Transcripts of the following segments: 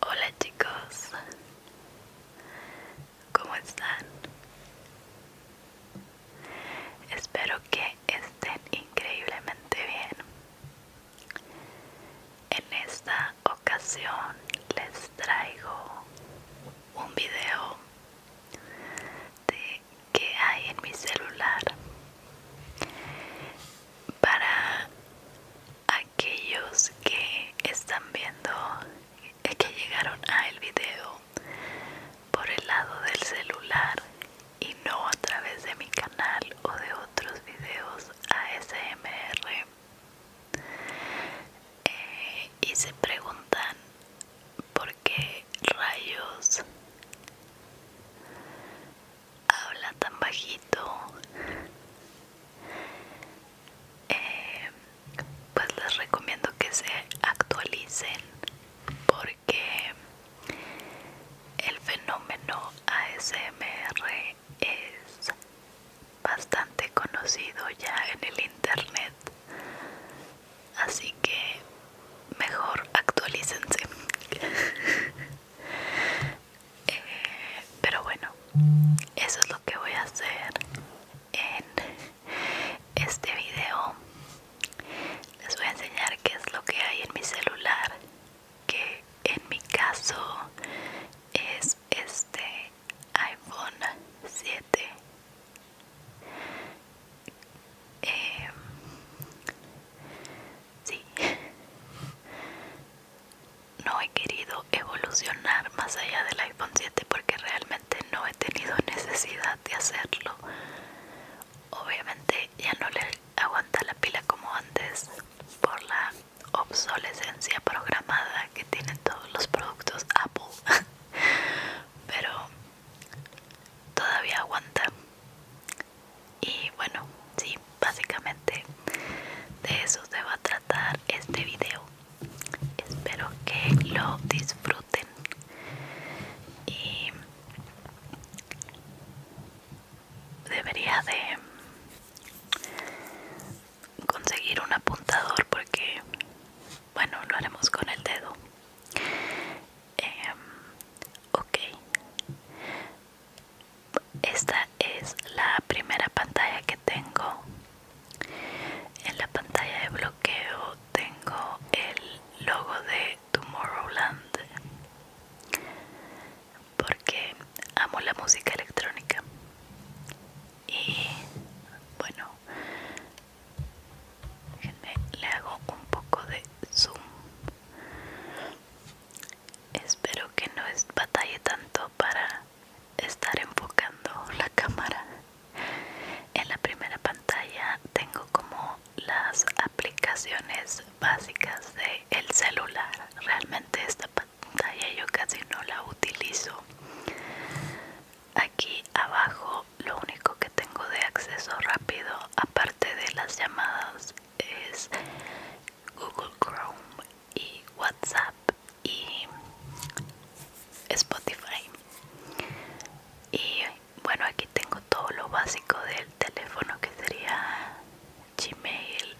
Hola chicos, ¿cómo están? Espero que estén increíblemente bien. En esta ocasión les traigo un video de que hay en mi celular para aquellos que están viendo, que llegaron a el video por el lado del celular y no a través de mi canal o de otros videos ASMR eh, y se preguntan por qué rayos habla tan bajito eh, pues les recomiendo que se actualicen porque el fenómeno ASMR es bastante conocido ya en el internet así que mejor actualícense Eh, pero bueno eso es lo que voy a hacer en este video les voy a enseñar qué es lo que hay en mi celular que en mi caso es este iPhone 7 Sí. No he querido evolucionar más allá del iPhone 7 porque realmente no he tenido necesidad de hacerlo. Obviamente ya no le aguanta la pila como antes por la obsolescencia programada que tienen todos los productos Apple. Pero todavía aguanta. Y bueno, sí, básicamente de eso se va a tratar este video. Espero que lo disfruten. Y debería de conseguir un apuntador porque, bueno, lo haremos con el dedo. Em, ok esta es la primera pantalla que tengo en la pantalla de bloqueo tengo el logo de Tomorrowland porque amo la música electrónica y bueno le hago un poco de zoom Espero que no es batalle tanto para estar enfocando la cámara. En la primera pantalla tengo como las aplicaciones básicas del celular. Realmente esta pantalla yo casi no la utilizo. Aquí abajo lo único que tengo de acceso rápido aparte de las llamadas es Google Chrome y WhatsApp y Spotify y bueno aquí tengo todo lo básico del teléfono que sería Gmail,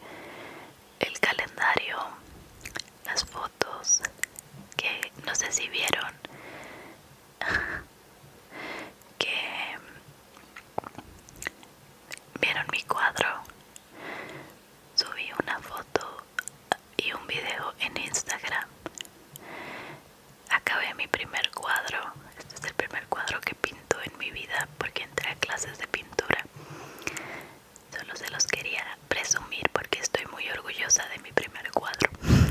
el calendario, las fotos que no sé si vieron que vieron mi cuadro subí una foto y un video en instagram acabé mi primer cuadro este es el primer cuadro que pinto en mi vida porque entré a clases de pintura solo se los quería presumir porque estoy muy orgullosa de mi primer cuadro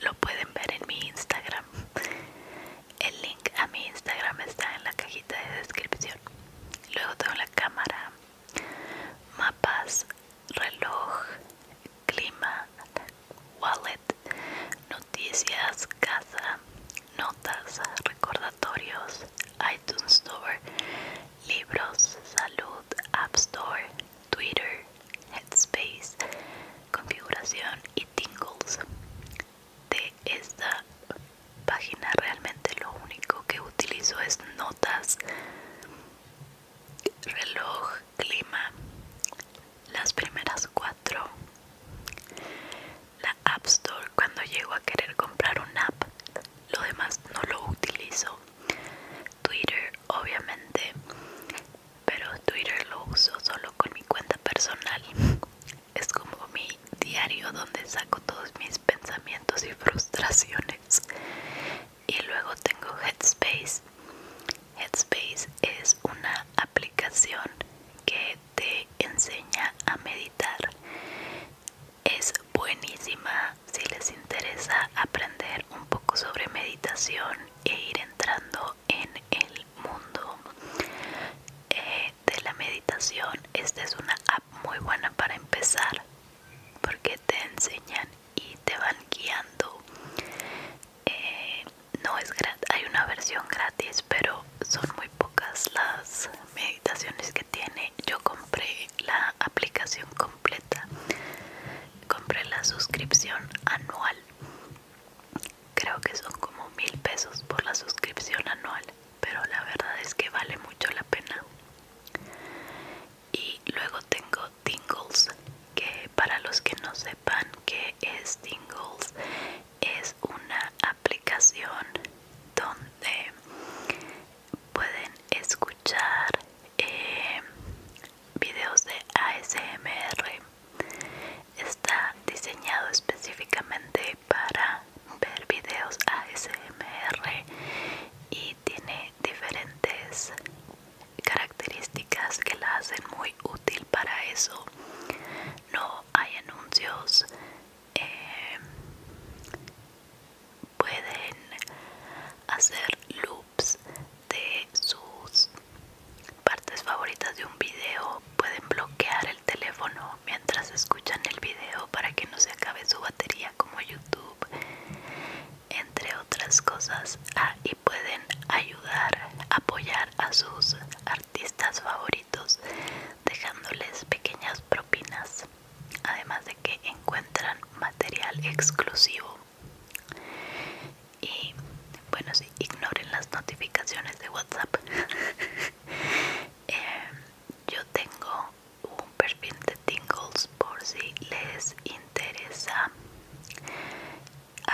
lo pueden ver en mi Instagram. El link a mi Instagram está en la cajita de descripción. Luego tengo la cámara, mapas, reloj, clima, wallet, noticias, casa, notas, recordatorios, iTunes Store, libros, salud, App Store, Twitter, Headspace, configuración y tingles de esta página realmente lo único que utilizo es notas reloj clima las primeras cuatro la app store cuando llego a querer comprar una app lo demás no lo utilizo twitter obviamente pero Twitter lo uso solo con mi cuenta personal. Es como mi diario donde saco todos mis pensamientos y frustraciones. Y luego tengo Headspace. Headspace es una aplicación que te enseña a meditar. Es buenísima si les interesa aprender un poco sobre meditación e ir entrando en el mundo eh, de la meditación esta es una app muy buena para empezar porque te enseñan y te van guiando eh, no es gratis hay una versión gratis pero son muy pocas las meditaciones que tiene yo compré la aplicación completa compré la suscripción anual Creo que son como mil pesos por la suscripción anual, pero la verdad es que vale mucho la pena. Y luego tengo Tingles, que para los que no sepan qué es Tingles, es una aplicación donde pueden escuchar eh, videos de ASMR Está diseñado específicamente para ver videos ASMR y tiene diferentes características que la hacen muy útil para eso. No hay anuncios. Eh, pueden hacer loops de sus Partes favoritas de un video pueden bloquear el teléfono mientras escuchan el video para que no se acabe su batería como YouTube, entre otras cosas. Ah, y pueden ayudar, apoyar a sus artistas favoritos dejándoles pequeñas propinas, además de que encuentran material exclusivo y bueno si, ignoren las notificaciones de whatsapp em, yo tengo un perfil de tingles por si les interesa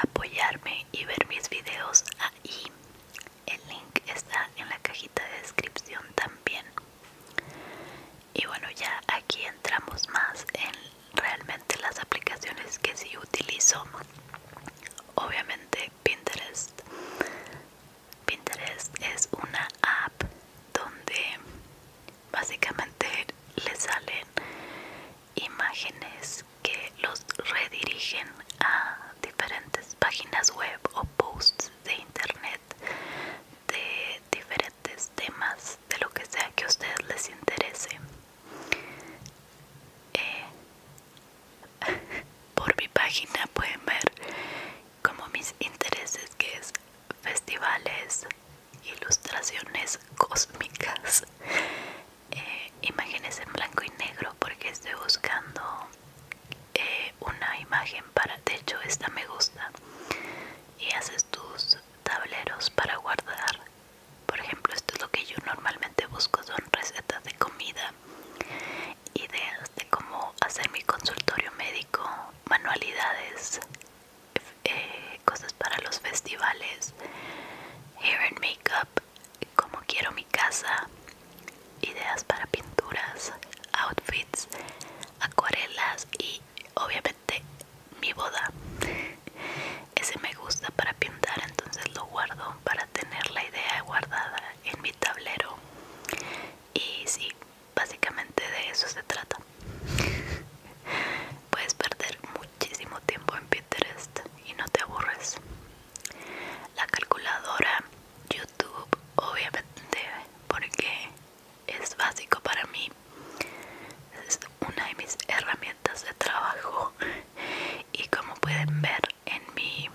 apoyarme y ver mis videos ahí el link está en la cajita de descripción también y bueno ya aquí entramos más en realmente las aplicaciones que sí utilizo obviamente Pinterest Pinterest es una app donde básicamente le salen imágenes que los redirigen a diferentes páginas web o posts de internet de diferentes temas de lo que sea que a ustedes les interese eh, por mi página pueden ver como mis intereses que es festivales, ilustraciones cósmicas, eh, imágenes en blanco y negro porque estoy buscando eh, una imagen para, techo. esta me gusta y haces tus tableros para guardar por ejemplo, esto es lo que yo normalmente busco, son recetas de comida, ideas de cómo hacer mi consultorio médico, manualidades, eh, cosas para los festivales, hair and makeup, cómo quiero mi casa, ideas para pinturas, outfits, acuarelas y obviamente mi boda ese me gusta para pintar entonces lo guardo para tener la idea guardada en mi tablero y sí básicamente de eso se trata puedes perder muchísimo tiempo en Pinterest y no te aburres la calculadora YouTube obviamente porque es básico para mí es una de mis herramientas de trabajo y como pueden ver en mi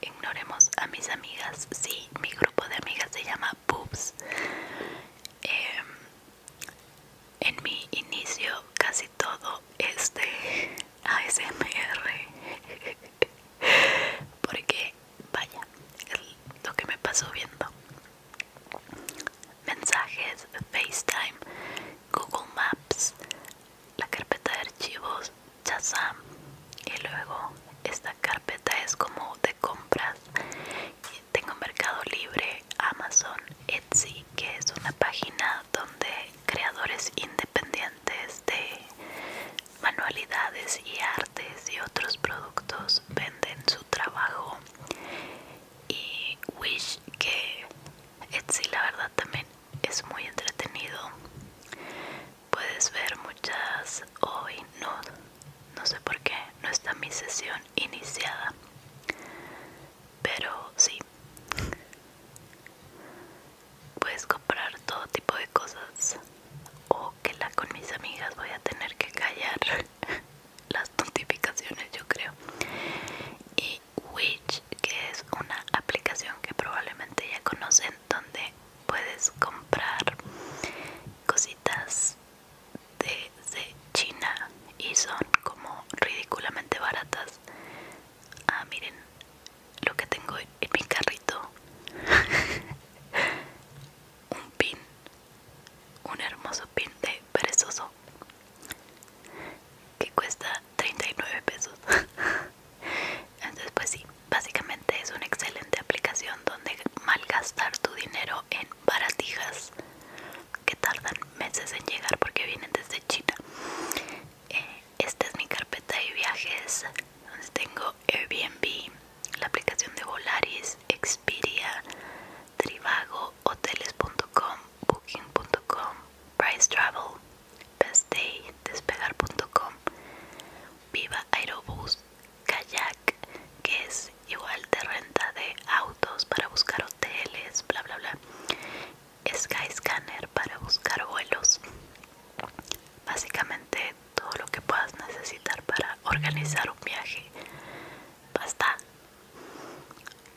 ignoremos a mis amigas sí mi grupo de amigas se llama boobs em, en mi inicio casi todo este de ASMR porque vaya es lo que me pasó viendo mensajes, FaceTime, Google Maps, la carpeta de archivos, chazam y luego esta carpeta es como de compras. Tengo Mercado Libre, Amazon, Etsy, que es una página donde creadores independientes de manualidades y artes y otros productos venden su trabajo y Wish que Etsy la verdad también es muy entretenido puedes ver muchas hoy no no sé por qué no está mi sesión iniciada pero sí puedes comprar todo tipo de cosas o que la con mis amigas voy a tener que callar las notificaciones yo creo y que es una aplicación que probablemente ya conocen, donde puedes comprar cositas de, de China y son como ridículamente baratas. Ah, miren lo que tengo en mi carrito. un pin, un hermoso pin de perezoso que cuesta 39 pesos entonces pues sí básicamente es una excelente aplicación donde malgastar tu dinero en baratijas que tardan meses en llegar porque vienen desde China eh, esta es mi carpeta de viajes donde tengo Airbnb la aplicación de Volaris, Expedia, Trivago, Hoteles.com, Booking.com, Price Travel, Day, Despegar.com, Viva Aerobus, Kayak, que es igual de renta de autos para buscar hoteles, bla bla bla. Skyscanner para buscar vuelos. Básicamente todo lo que puedas necesitar para organizar un viaje. Basta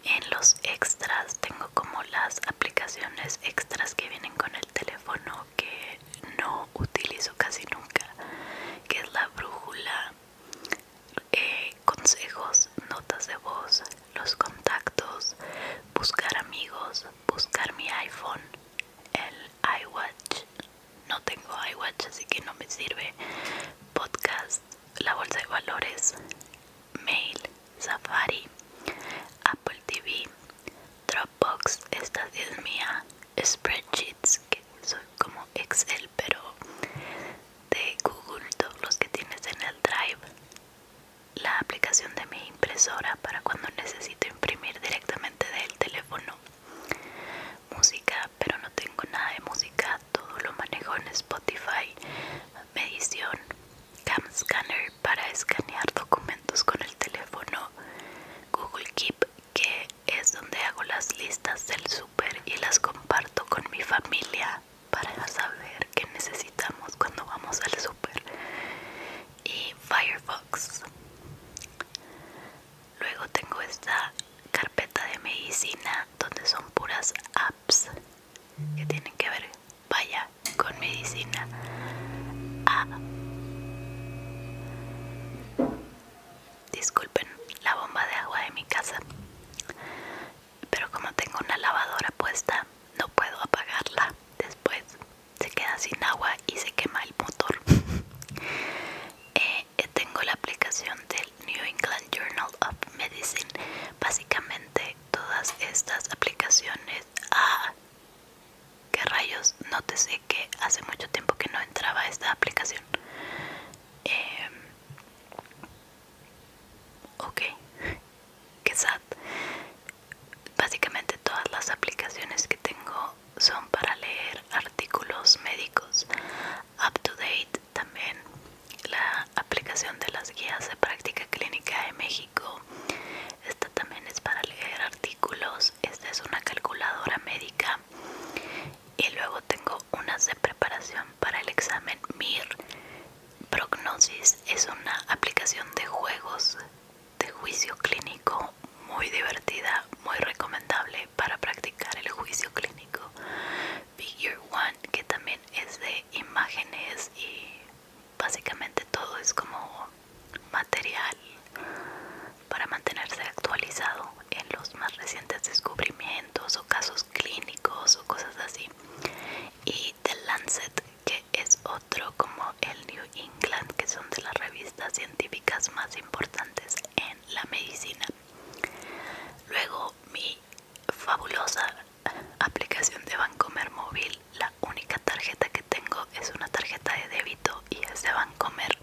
en los extras tengo como las aplicaciones extras que vienen con el teléfono que no utilizo casi nunca, que es la brújula, eh, consejos, notas de voz, los contactos, buscar amigos, buscar mi iPhone, el iWatch, no tengo iWatch así que no me sirve, podcast, la bolsa de valores, Mail, Safari, Apple TV, Dropbox, esta es mía, Spreadsheets, que son como Excel, pero de Google, todos los que tienes en el Drive, la aplicación de mi impresora para cuando necesito imprimir directamente del teléfono música pero no tengo nada de música todo lo manejo en Spotify, medición, cam scanner para escanear documentos con el teléfono, Google Keep que es donde hago las listas del súper y las comparto con mi familia para saber qué necesitamos cuando vamos al súper y Firefox. Luego tengo esta carpeta de medicina donde son puras apps que tienen que ver, vaya, con medicina. Ah. Disculpen la bomba de agua de mi casa, pero como tengo una lavadora puesta, no puedo apagarla. Después se queda sin agua y se quema el motor. Eh, tengo la aplicación del New England Journal of Medicine. Básicamente todas estas aplicaciones... Ah, qué rayos, sé que hace mucho tiempo que no entraba esta aplicación. Em, ok, qué sad. Básicamente todas las aplicaciones que tengo son para leer artículos médicos. Up to date también la aplicación de las guías de práctica clínica de México. Esta también es para leer artículos. Esta es una calculadora médica. Y luego tengo unas de preparación para el examen MIR. Prognosis es una aplicación de juegos de juicio clínico muy divertida, muy recomendable para practicar el juicio clínico. Figure One que también es de imágenes y básicamente todo es como material para mantenerse actualizado en los más recientes descubrimientos o casos clínicos o cosas así y The Lancet que es otro como el New England que son de las revistas científicas más importantes en la medicina luego mi fabulosa aplicación de Bancomer móvil. La única tarjeta que tengo es una tarjeta de débito y es de Bancomer.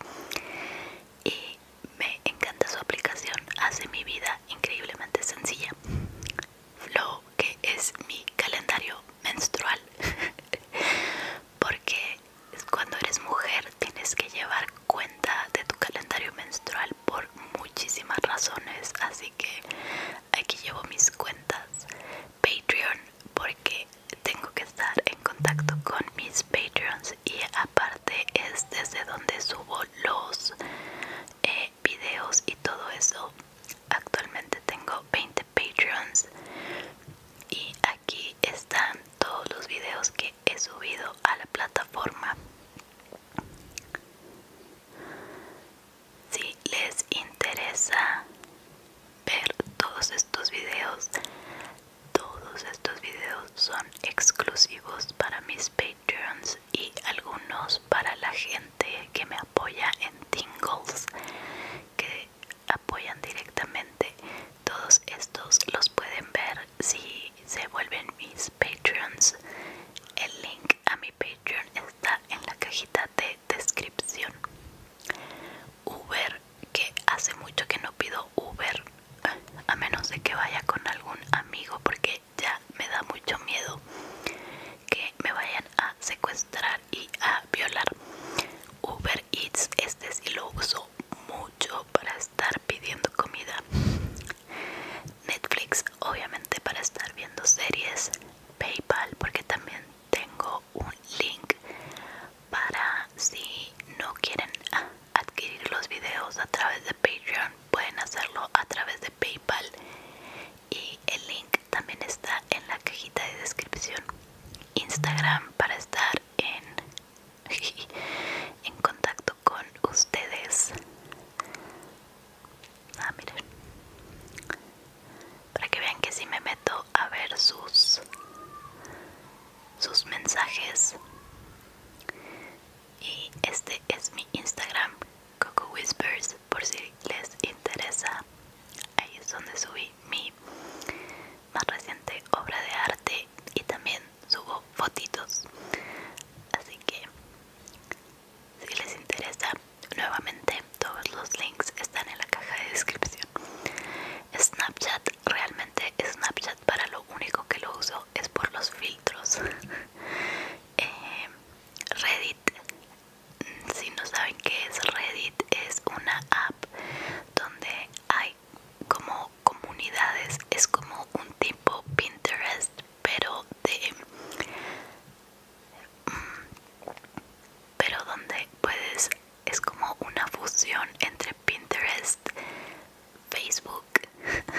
Y me encanta su aplicación, hace mi vida increíblemente sencilla. Flow, que es mi calendario menstrual. Porque cuando eres mujer tienes que llevar cuenta de tu calendario menstrual por muchísimas razones así que aquí llevo mis cuentas Patreon porque tengo que estar en contacto con mis Patreons y aparte es desde donde subo los eh, videos y todo eso actualmente tengo 20 Patreons y aquí están todos los videos que he subido a la plataforma si les interesa ver todos estos videos, todos estos videos son exclusivos para mis Patreons y algunos para la gente que me apoya en Tingles, que apoyan directamente. Todos estos los pueden ver si se vuelven mis Patreons. El link a mi Patreon está en la cajita de descripción. Uber, que hace mucho que no pido Uber, a menos de que vaya con algún amigo, porque ya me da mucho miedo que me vayan a secuestrar y a violar. Uber Eats, este sí lo uso mucho para estar pidiendo comida. Netflix obviamente para estar viendo series. PayPal porque también tengo un link para si no quieren ah, adquirir los videos a través de Patreon pueden hacerlo a través de PayPal y el link también está en la cajita de descripción. Instagram para estar en en contacto con ustedes. Ah, Para que vean que si me meto a ver sus sus mensajes. Y este es mi Instagram, Coco Whispers, por si les interesa. Ahí es donde subí mi más reciente obra de arte y también subo fotitos así que si les interesa nuevamente todos los links están en la caja de descripción snapchat realmente snapchat para lo único que lo uso es por los filtros em, reddit si no saben qué es reddit es una app donde hay como comunidades es como un tipo Pinterest pero de mm, pero donde puedes es como una fusión entre Pinterest Facebook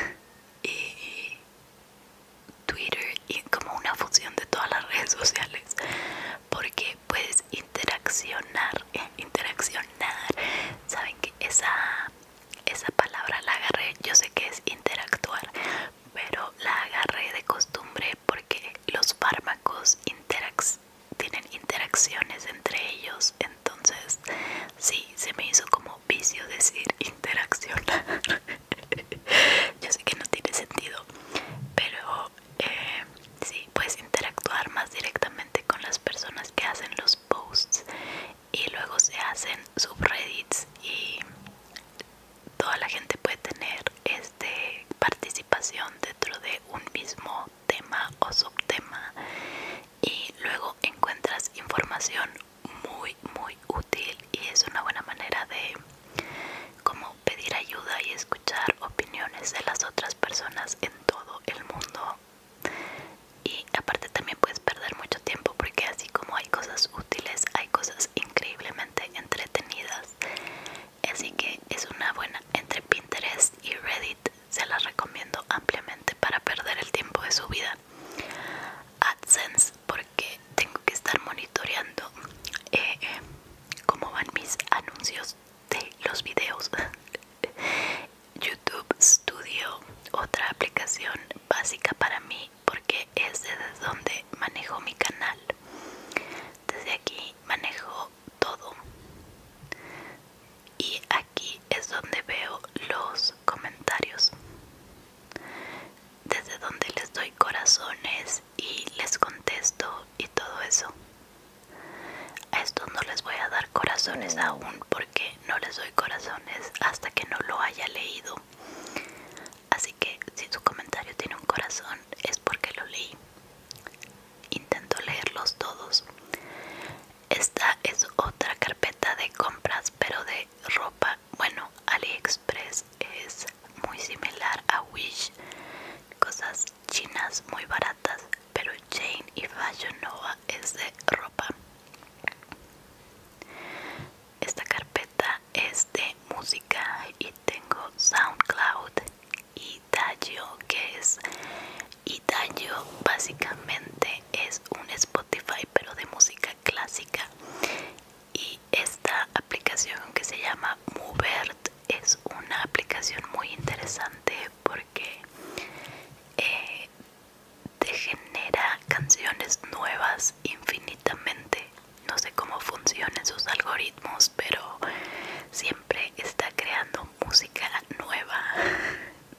y Twitter y como una fusión de todas las redes sociales porque puedes interaccionar eh, interaccionar saben que esa esa palabra la agarré, yo sé que es interactuar, pero la agarré de costumbre porque los fármacos tienen interacciones entre ellos, entonces sí, se me hizo como vicio decir interaccionar. yo sé que no tiene sentido, pero eh, sí, puedes interactuar más directamente con las personas que hacen los posts y luego se hacen subreddits y toda la gente puede tener este participación dentro de un mismo tema o subtema y luego encuentras información muy muy útil y es una buena manera de como pedir ayuda y escuchar opiniones de las otras personas en todo el mundo y aparte también puedes perder mucho tiempo porque así como hay cosas útiles hay cosas increíblemente entretenidas así que es una buena entre Pinterest y Reddit se las recomiendo ampliamente para perder el tiempo de su vida AdSense porque tengo que estar monitoreando eh, cómo van mis anuncios de los videos YouTube Studio, otra aplicación básica para mí porque es desde donde manejo mi canal. Desde aquí manejo todo. Y aquí es donde veo los comentarios. Desde donde les doy corazones y les contesto y todo eso. A estos no les voy a dar corazones aún porque no les doy corazones hasta que no lo haya leído. Así que si tu comentario tiene un corazón es porque lo leí. Intento leerlos todos. Esta es otra carpeta de compras pero de ropa. Bueno, AliExpress es muy similar a Wish. Cosas chinas muy baratas, pero Jane y Fashion Nova es de ropa. Esta carpeta es de música y tengo SoundCloud y Dayo que es y básicamente es un Spotify pero de música clásica y esta aplicación que se llama Movert es una aplicación muy interesante porque eh, te genera canciones nuevas infinitamente. No sé cómo funcionan sus algoritmos, pero siempre está creando música nueva.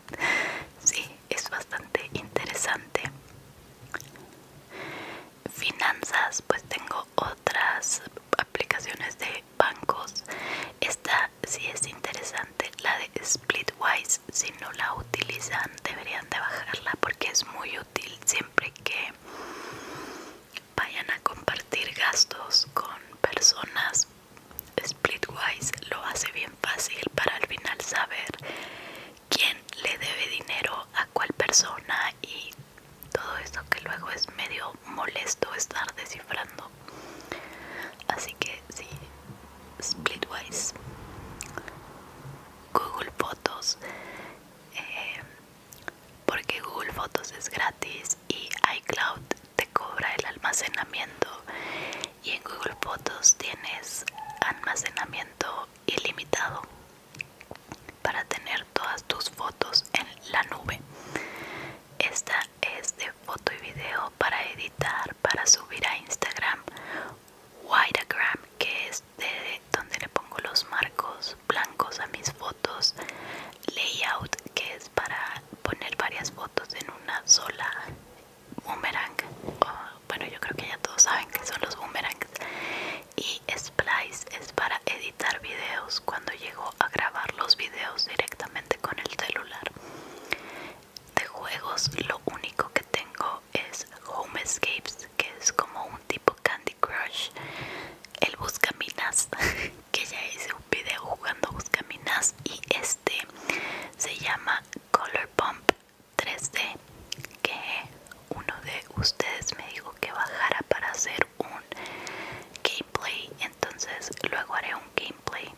Sí, es bastante interesante. Finanzas, pues tengo otras aplicaciones de bancos. Esta si es interesante la de Splitwise si no la utilizan deberían de bajarla porque es muy útil siempre que vayan a compartir gastos con personas Splitwise lo hace bien fácil para al final saber quién le debe dinero a cuál persona y todo eso que luego es medio molesto estar descifrando así que sí Splitwise Google Fotos eh, porque Google Fotos es gratis y iCloud te cobra el almacenamiento y en Google Fotos tienes almacenamiento ilimitado para tener todas tus fotos en la nube esta es de foto y video para editar, para subir a Instagram, Wiregram, que es de donde le pongo los marcos blancos a mis fotos, Layout, que es para poner varias fotos en una sola, Boomerang, bueno yo creo que ya todos saben que son los Boomerangs, y Splice es para editar videos cuando llego a grabar los videos directamente con el celular de juegos lo único que tengo es Home Escapes, que es como un tipo Candy Crush, el Buscaminas, que ya hice un video jugando Buscaminas y este se llama Color Pump 3D, que uno de ustedes me dijo que bajara para hacer un gameplay, entonces luego haré un gameplay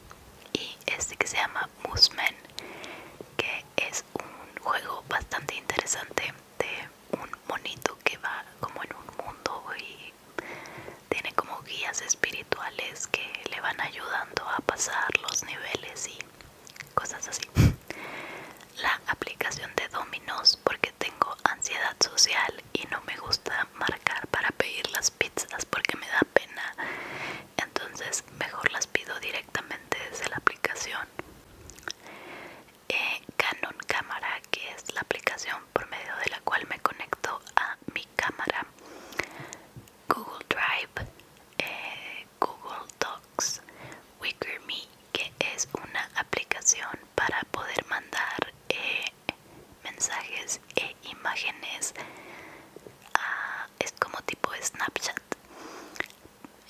y este que se llama Mooseman que es un juego bastante interesante de un monito que va como en un mundo y tiene como guías espirituales que le van ayudando a pasar los niveles y cosas así la aplicación de dominos porque tengo ansiedad social y no me gusta marcar para pedir las pizzas porque me da pena entonces mejor las pido directamente desde la aplicación eh, Canon Cámara que es la aplicación por medio de la cual me conecto a mi cámara Google Drive eh, Google Docs me que es una aplicación para poder mandar eh, mensajes e imágenes ah, es como tipo Snapchat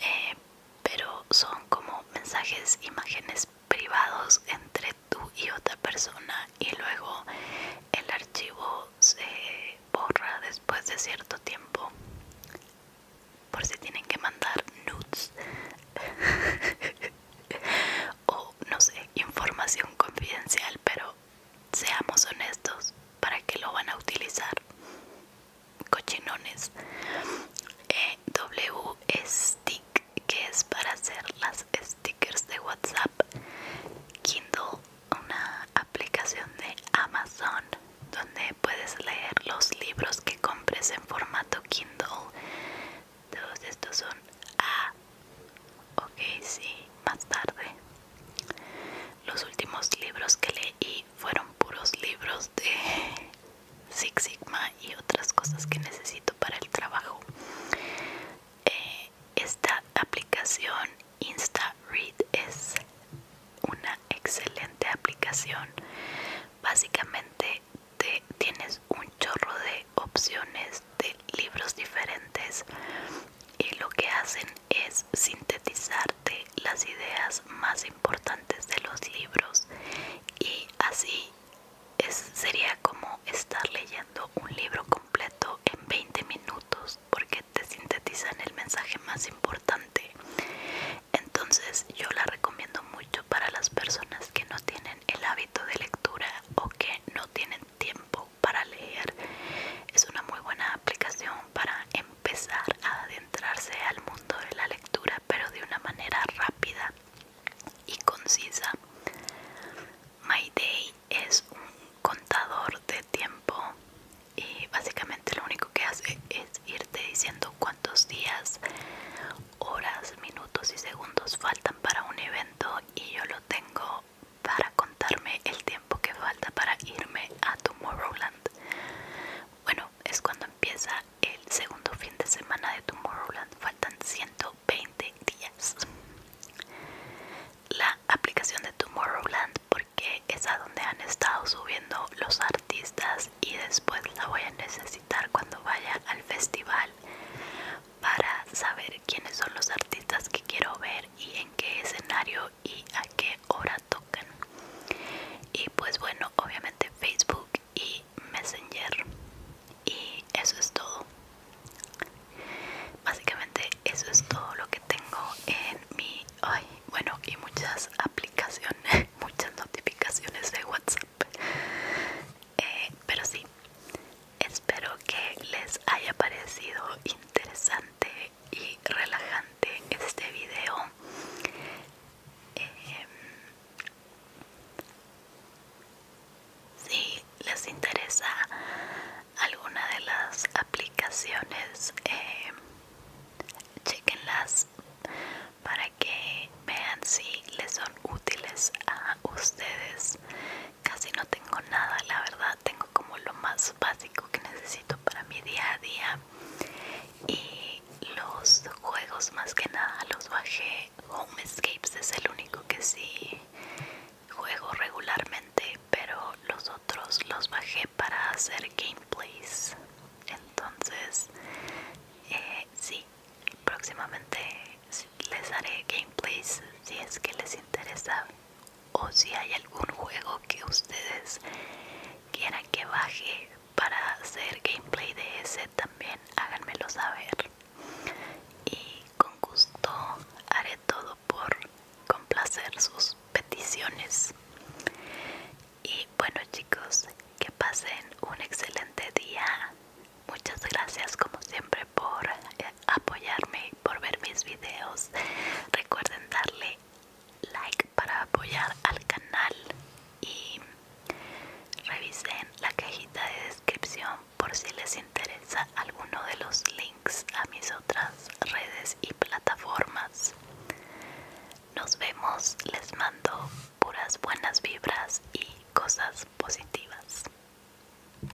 eh, pero son como mensajes imágenes privados entre tú y otra persona y luego el archivo se borra después de cierto tiempo por si tienen que mandar nudes o no sé información confidencial pero seamos honestos, ¿para que lo van a utilizar? Cochinones. EW eh, w Stick, que es para hacer las stickers de WhatsApp. Kindle, una aplicación de Amazon donde puedes leer los libros que compres en formato Kindle. Todos estos son a Ok, sí, más tarde. Los últimos libros que leí fueron puros libros de Six Sigma y otras cosas que necesito para el trabajo. Eh, esta aplicación InstaRead es una excelente aplicación. Básicamente te tienes un chorro de opciones de libros diferentes y lo que hacen es sintetizarte las ideas más importantes de los libros y así sería como estar leyendo un libro completo en 20 minutos porque te sintetizan el mensaje más importante entonces yo la recomiendo mucho para las personas que no tienen el hábito de lectura o que no tienen tiempo para leer. Es una muy buena aplicación para empezar a adentrarse al mundo de la lectura, pero de una manera rápida y concisa. My Day es un contador de tiempo y básicamente lo único que hace es irte diciendo cuántos días, horas, minutos y segundos faltan para un evento y yo lo tengo para contarme el tiempo que falta para irme a Tomorrowland. Bueno, es cuando empieza el segundo fin de semana de Tomorrowland. Faltan 120 días. La aplicación de Tomorrowland porque es a donde han estado subiendo los artistas y después la voy a necesitar cuando vaya al festival para saber quiénes son los artistas que quiero ver y en qué escenario y a qué hora tocan. Y pues bueno, obviamente Facebook y Messenger. Y eso es todo. Básicamente eso es todo lo que tengo en mi... Ay, bueno, y muchas aplicaciones, muchas notificaciones de WhatsApp. Eh, pero sí, Espero que les haya parecido interesante y relajante este video. Em, si les interesa alguna de las aplicaciones, em, chequenlas para que vean si les son útiles a ustedes Casi no tengo nada, la verdad. Tengo como lo más básico que necesito para mi día a día. Y los juegos, más que nada, los bajé. Home Escapes es el único que sí juego regularmente, pero los otros los bajé para hacer gameplays. Entonces, eh, sí, próximamente les haré gameplays si es que les interesa o si hay algún juego que ustedes quieran que baje para hacer gameplay de ese también háganmelo saber y con gusto haré todo por complacer sus peticiones y bueno chicos que pasen un excelente día muchas gracias como siempre por apoyarme por ver mis videos recuerden darle like para apoyar al canal y revisen la cajita de descripción por si les interesa alguno de los links a mis otras redes y plataformas nos vemos les mando puras buenas vibras y cosas positivas